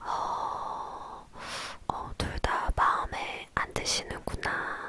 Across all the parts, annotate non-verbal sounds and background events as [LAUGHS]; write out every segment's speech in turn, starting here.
어, 어, 둘 다 마음에 안 드시는구나.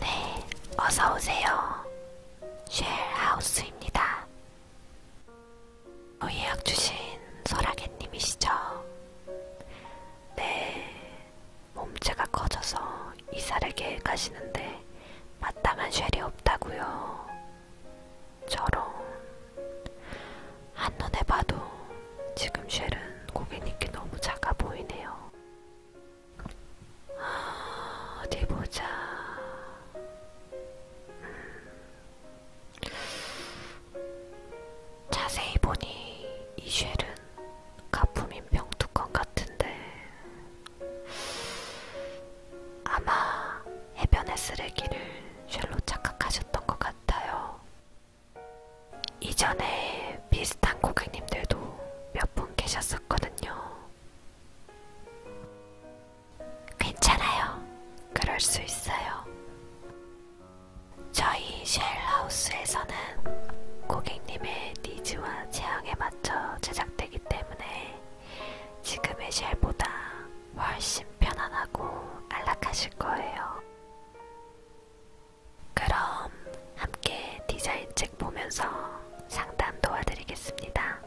네, 어서 오세요. 쉘하우스입니다. 어, 예약 주신 설아개님이시죠? 네, 몸체가 커져서 이사를 계획하시는데 마땅한 쉘이 없다고요. 저런, 한눈에 봐도 지금 쉘은 고객님께 너무 작아 보이네요. 어디 보자. 음. 자세히 보니 이 쉘은 가품인 병뚜껑 같은데 아마 해변의 쓰레기를 쉘로 착각하셨던 것 같아요. 이전에 비슷한 고객님들도 몇 분 계셨. 있었거든요. 괜찮아요. 그럴 수 있어요. 저희 쉘하우스에서는 고객님의 니즈와 취향에 맞춰 제작되기 때문에 지금의 쉘보다 훨씬 편안하고 안락하실 거예요. 그럼 함께 디자인 책 보면서 상담 도와드리겠습니다.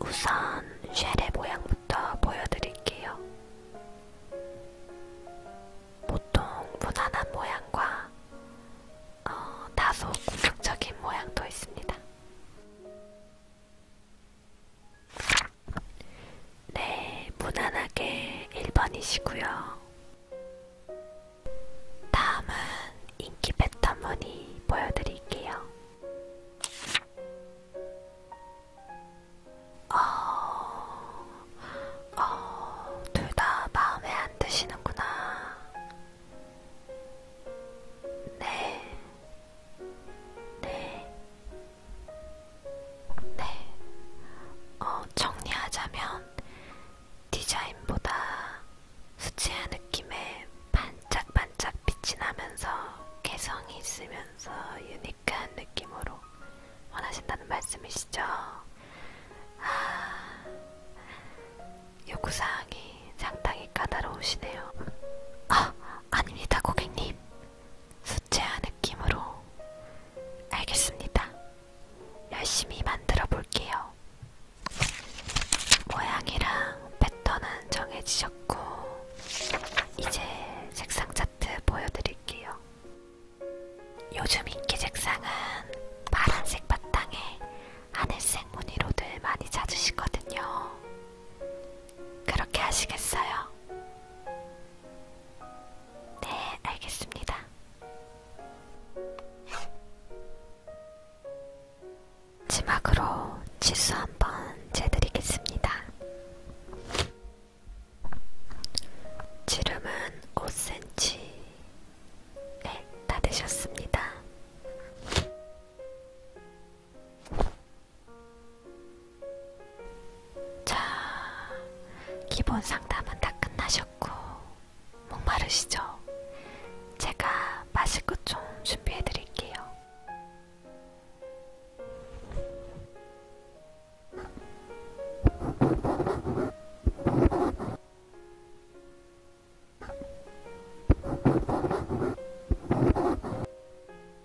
우선 쉘의 모양부터 보여드릴게요. 보통 무난한 모양과 어, 다소 공격적인 모양도 있습니다. 네, 무난하게 1번이시고요. 다음은 인기 패턴 무늬 보여드릴게요. 어, 어, 둘 다 마음에 안 드시는구나. 네, 네, 네, 어, 정리하자면 디자인보다 수채화 느낌의 반짝반짝 빛이 나면서 개성이 있으면서 유니크한 느낌으로 원하신다는 말씀이시죠? 아, 요구사항이 상당히 까다로우시네요. 아, 아닙니다, 고객님. 수채화 느낌으로 알겠습니다. 열심히 만들어 볼게요. 모양이랑 패턴은 정해지셨고, 이제 색상 차트 보여드릴게요. 요즘 인기 색상은 파란색 바탕에 하늘색 무늬로들 많이 찾으시거든요. 그렇게 하시겠어요? 네, 알겠습니다. 마지막으로 치수 한번 재드리겠습니다. 지름은 5cm에 다 되셨습니다. 자, 기본 상담은 다 끝나셨고, 목마르시죠? 제가 마실 것 좀 준비해 드릴게요.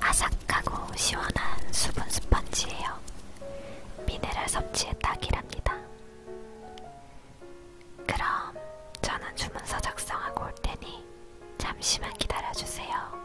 아삭하고 시원한 수분 스펀지예요. 미네랄 섭취에 딱이랍니다. 그럼 저는 주문서 작성하고 올 테니 잠시만 기다려주세요.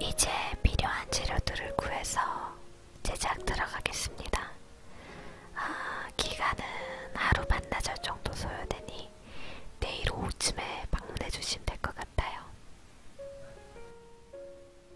이제 필요한 재료들을 구해서 제작 들어가겠습니다. 아, 기간은 하루 반나절 정도 소요되니 내일 오후쯤에 방문해 주시면 될 것 같아요.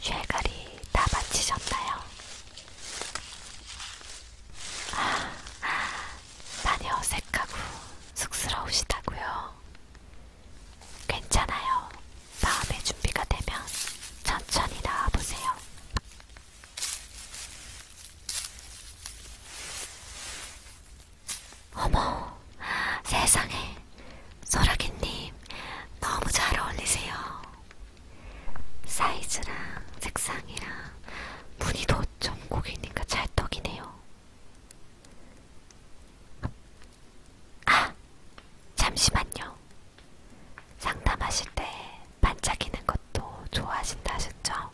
쇠갈이 다 마치셨나요? 아, 많이 어색하고 쑥스러우시다고요. 괜찮아요. 마음의 준비가 되면 천천히 나와보세요. 어머, 세상에. 소라기님, 너무 잘 어울리세요. 사이즈랑 색상이랑 무늬도 전곡이니까 찰떡이네요. 아, 잠시만요. 상담하실 때 반짝이는 것도 좋아하신다 하셨죠? 있어요.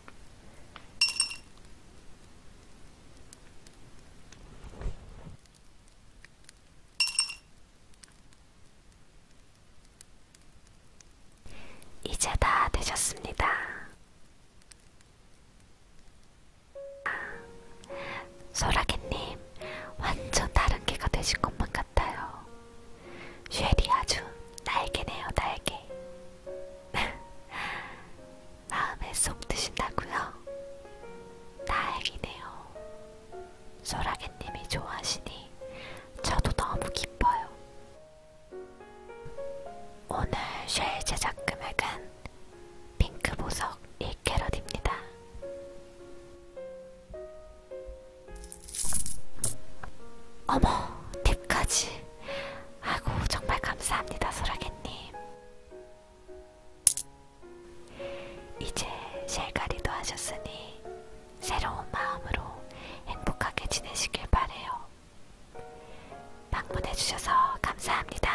이제 다 되셨습니다. 소라기님, 완전 다른 개가 되신 것만 같아요. 쉘이 아주 날개네요, 날개. [LAUGHS] 마음에 쏙 드신다고요? 다행이네요. 소라게님이 좋아하시니 저도 너무 기뻐요. 오늘 쉘 제작 금액은 핑크 보석 1캐럿입니다. 어머, 팁까지. 아고 정말 감사합니다, 소라개님. 이제 실가리도 하셨으니 새로운 마음으로 행복하게 지내시길 바래요. 방문해주셔서 감사합니다.